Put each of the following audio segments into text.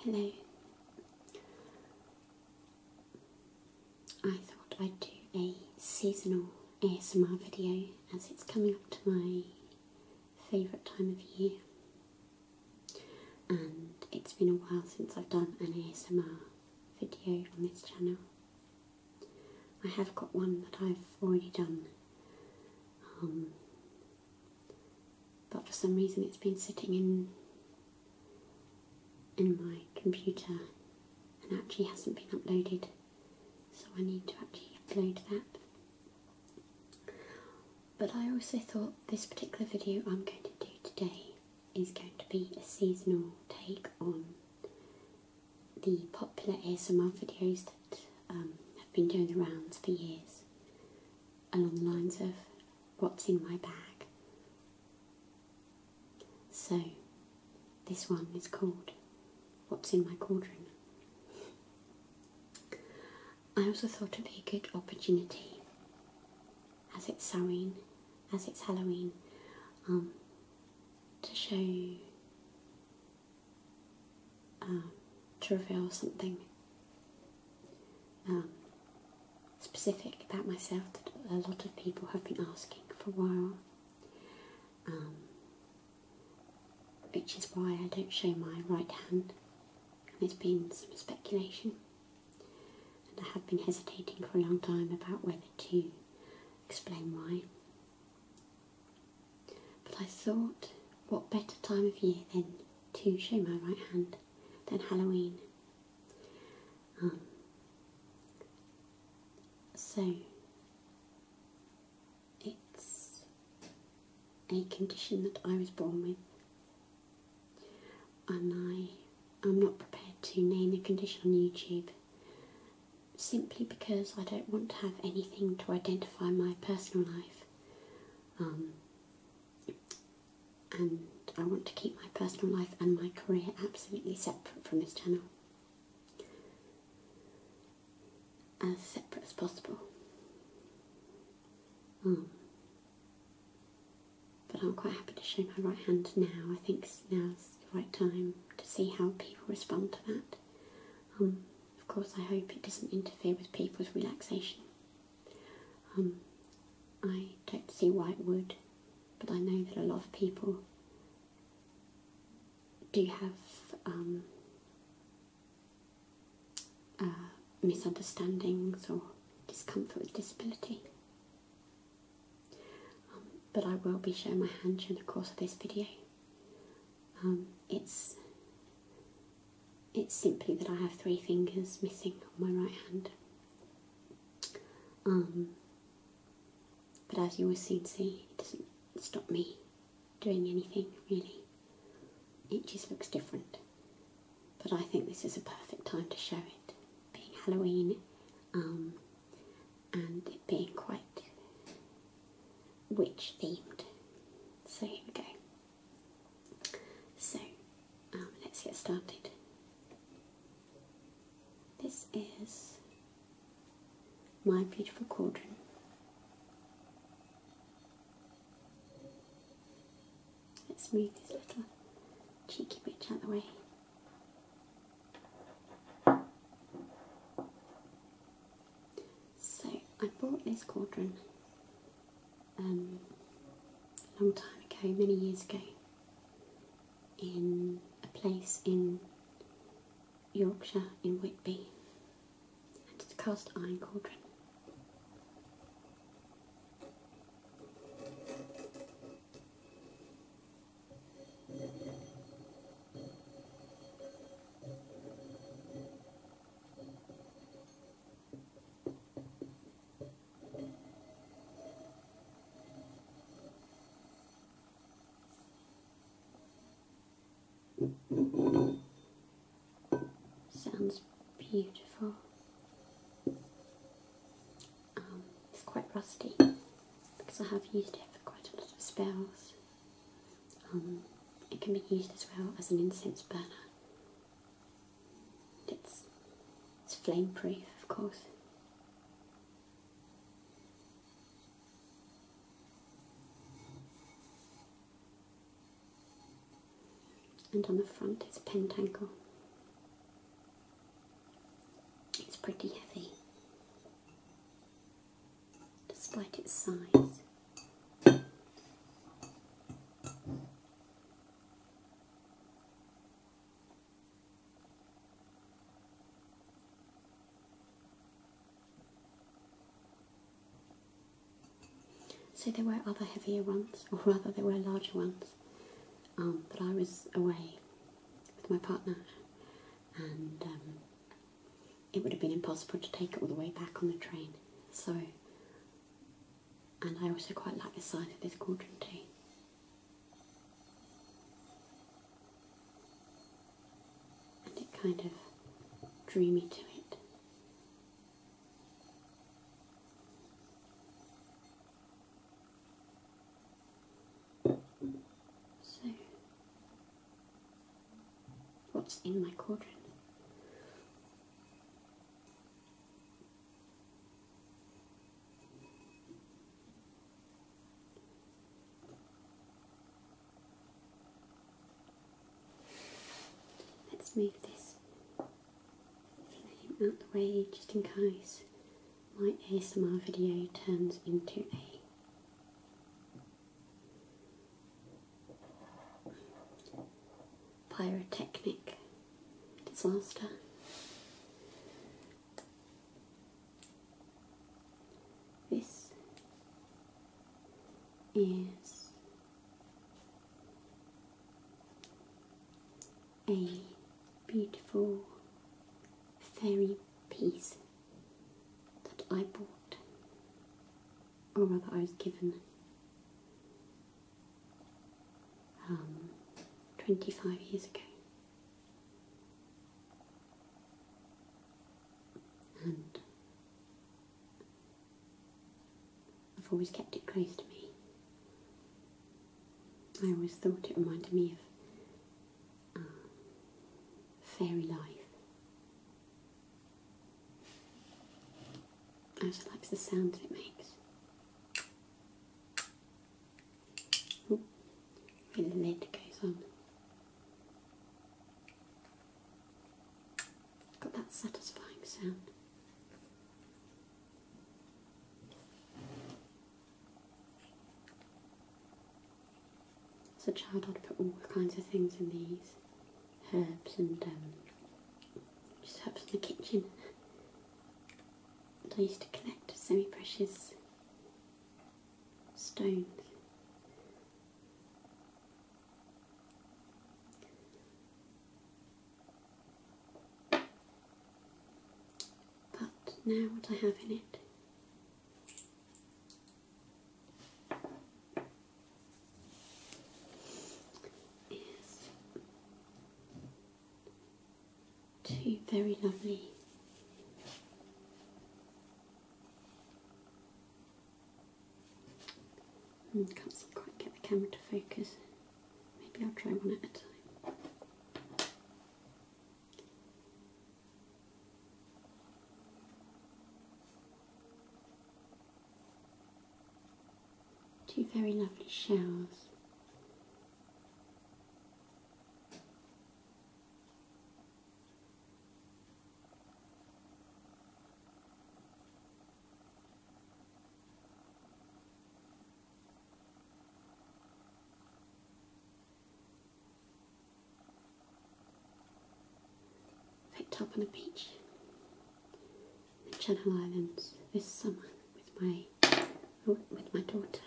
Hello. I thought I'd do a seasonal ASMR video as it's coming up to my favourite time of year and it's been a while since I've done an ASMR video on this channel I have got one that I've already done, um, but for some reason it's been sitting in in my computer and actually hasn't been uploaded, so I need to actually upload that. But I also thought this particular video I'm going to do today is going to be a seasonal take on the popular ASMR videos that um, have been doing around for years, along the lines of what's in my bag. So, this one is called What's in My wardrobe." I also thought it would be a good opportunity, as it's Samhain, as it's Halloween, um, to show you. Um, to reveal something um, specific about myself that a lot of people have been asking for a while, um, which is why I don't show my right hand. there's been some speculation, and I have been hesitating for a long time about whether to explain why. But I thought, what better time of year than to show my right hand than Halloween? Um, so, it's a condition that I was born with, and I'm not prepared to name the condition on YouTube simply because I don't want to have anything to identify my personal life. Um, and I want to keep my personal life and my career absolutely separate from this channel. As separate as possible. Hmm. but I'm quite happy to show my right hand now. I think now's the right time to see how people respond to that. Um, of course, I hope it doesn't interfere with people's relaxation. Um, I don't see why it would, but I know that a lot of people do have um, uh, misunderstandings or discomfort with disability. but I will be showing my hand during the course of this video. Um, it's it's simply that I have three fingers missing on my right hand. Um, but as you will soon see, it doesn't stop me doing anything really. It just looks different. But I think this is a perfect time to show it, being Halloween. Um, and it being quite witch themed. So here we go. So um, let's get started. This is my beautiful cauldron. Let's move this little cheeky witch out of the way. So I bought this cauldron a um, long time ago, many years ago, in a place in Yorkshire in Whitby, and it's a cast iron cauldron. Sounds beautiful. Um, it's quite rusty because I have used it for quite a lot of spells. Um, it can be used as well as an incense burner. It's, flameproof, of course. And on the front it's a pentacle. It's pretty heavy despite its size. So there were other heavier ones, or rather there were larger ones, but um, I was away with my partner and um, it would have been impossible to take it all the way back on the train. So, and I also quite like the size of this quadrant too. And it kind of drew me to it. So, what's in my quadrant. Let's move this flame out the way just in case my ASMR video turns into a pyrotechnic disaster. This is a beautiful fairy piece that I bought, or rather, I was given um, 25 years ago. And I've always kept it close to me. I always thought it reminded me of uh, fairy life I oh, just like the sound it makes. Ooh, the lid goes on. Got that satisfying sound. As a child, I'd put all kinds of things in these herbs and um, just herbs in the kitchen. And I used to collect semi precious stones. But now, what I have in it is two very lovely hmm, can't quite get the camera to focus. Maybe I'll try one at a time. Two very lovely shells. Picked up on a beach in the Channel Islands this summer with my with my daughter.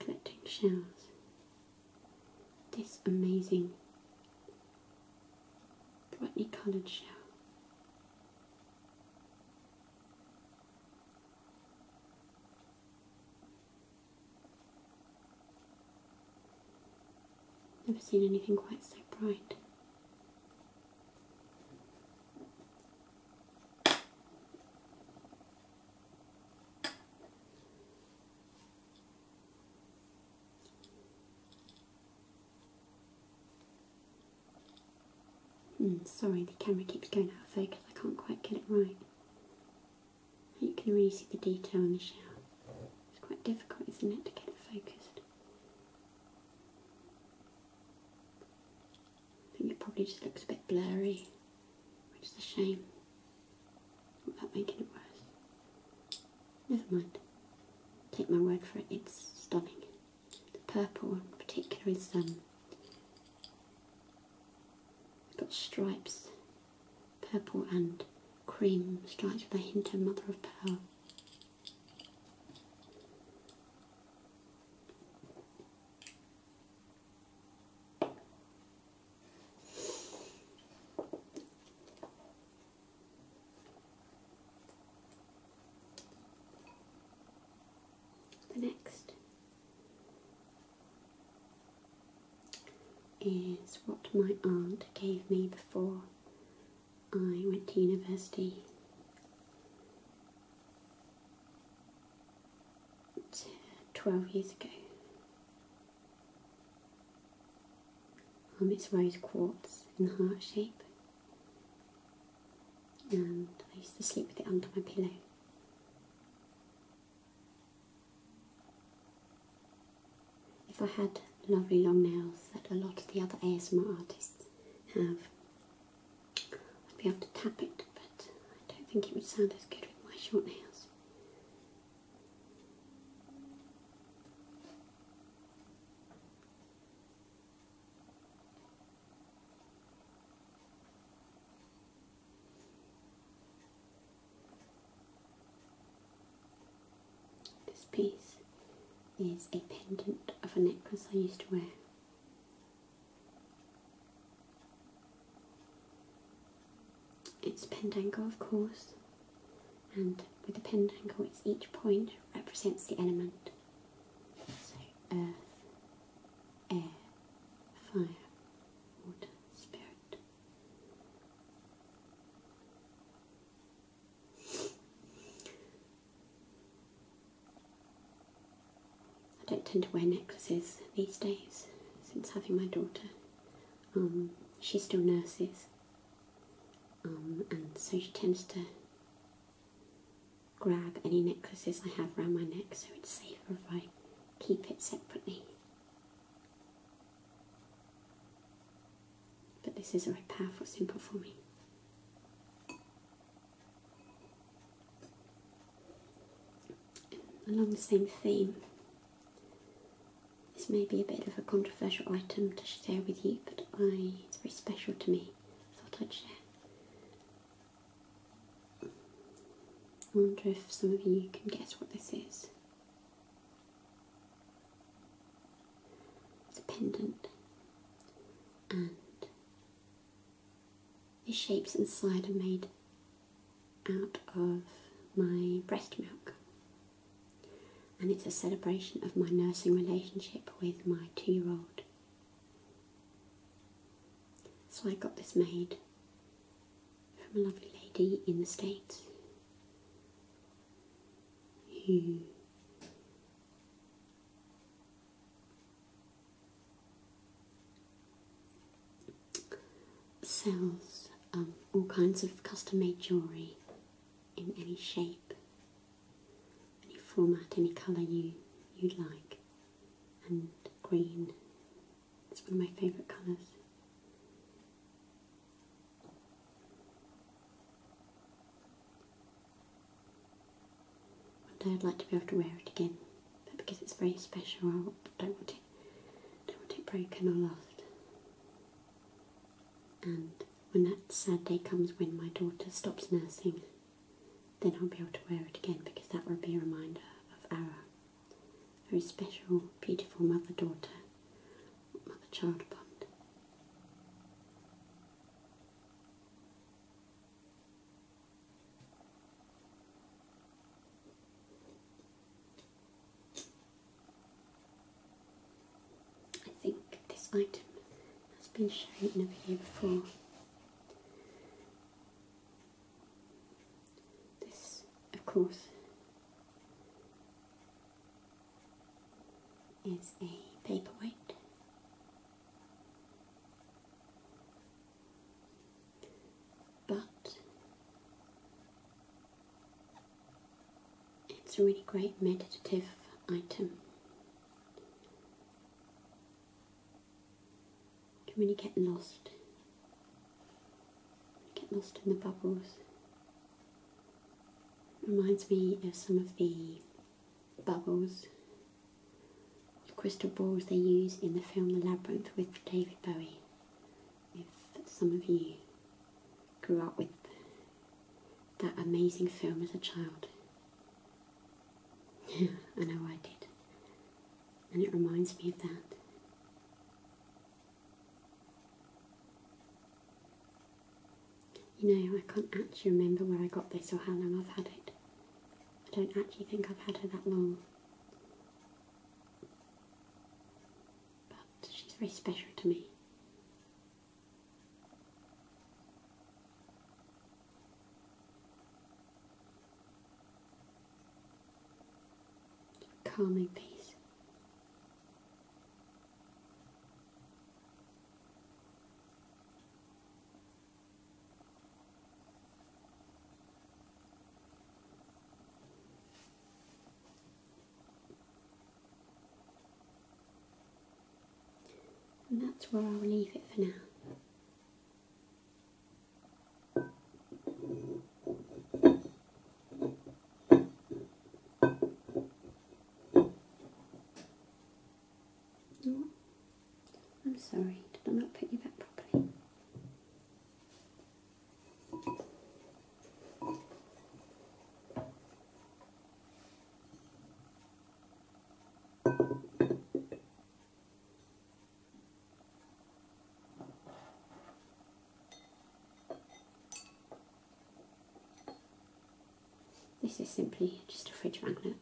collecting shells. This amazing brightly coloured shell. Never seen anything quite so bright. Hmm, sorry, the camera keeps going out of focus. I can't quite get it right. You can really see the detail in the shell. It's quite difficult, isn't it, to get it focused? I think it probably just looks a bit blurry, which is a shame. Without making it worse. Never mind. Take my word for it, it's stunning. The purple in particular is um got stripes Purple and cream stripes with a hint of mother of pearl. The next is what my aunt gave me before I went to university. Uh, 12 years ago. it's rose quartz in heart shape and I used to sleep with it under my pillow if I had lovely long nails that a lot of the other ASMR artists have, I'd be able to tap it, but I don't think it would sound as good with my short nails. This piece is a pendant of a necklace I used to wear. It's pendangle, of course, and with the pendangle, each point represents the element. So, earth, air, fire, water, spirit. I don't tend to wear necklaces these days since having my daughter. Um, she still nurses, um, and so she tends to grab any necklaces I have around my neck, so it's safer if I keep it separately but this is a very powerful symbol for me. Along the same theme, this may be a bit of a controversial item to share with you, but it's very special to me. I thought I'd share. I wonder if some of you can guess what this is. It's a pendant and the shapes inside are made out of my breast milk and it's a celebration of my nursing relationship with my two-year-old. So I got this made from a lovely lady in the States who sells um, all kinds of custom made jewellery in any shape, any format, any colour you, you'd like, and green. It's one of my favourite colours. One day I'd like to be able to wear it again, but because it's very special, I don't want it, don't want it broken or lost. And when that sad day comes when my daughter stops nursing, then I'll be able to wear it again because that will be a reminder of our very special, beautiful mother daughter, mother child bond. I think this item has been shown in a video before. This, of course, it's a paperweight. But it's a really great meditative item. You can really get lost get lost in the bubbles. It reminds me of some of the bubbles, the crystal balls they use in the film The Labyrinth with David Bowie. If some of you grew up with that amazing film as a child. I know I did. And it reminds me of that. You know, I can't actually remember where I got this or how long I've had it. I don't actually think I've had her that long. But she's very special to me. Calming peace. And that's where I'll leave it for now. I'm sorry, did I not put you back properly? This is simply just a fridge magnet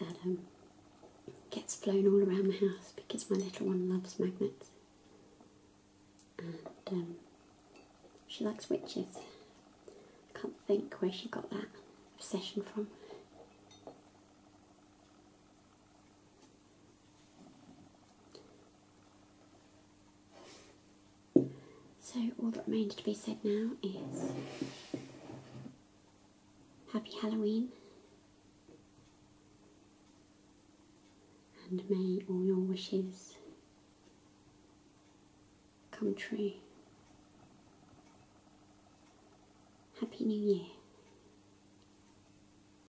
that um, gets flown all around the house because my little one loves magnets and um, she likes witches. I can't think where she got that obsession from. So all that remains to be said now is happy Halloween and may all your wishes come true. Happy New Year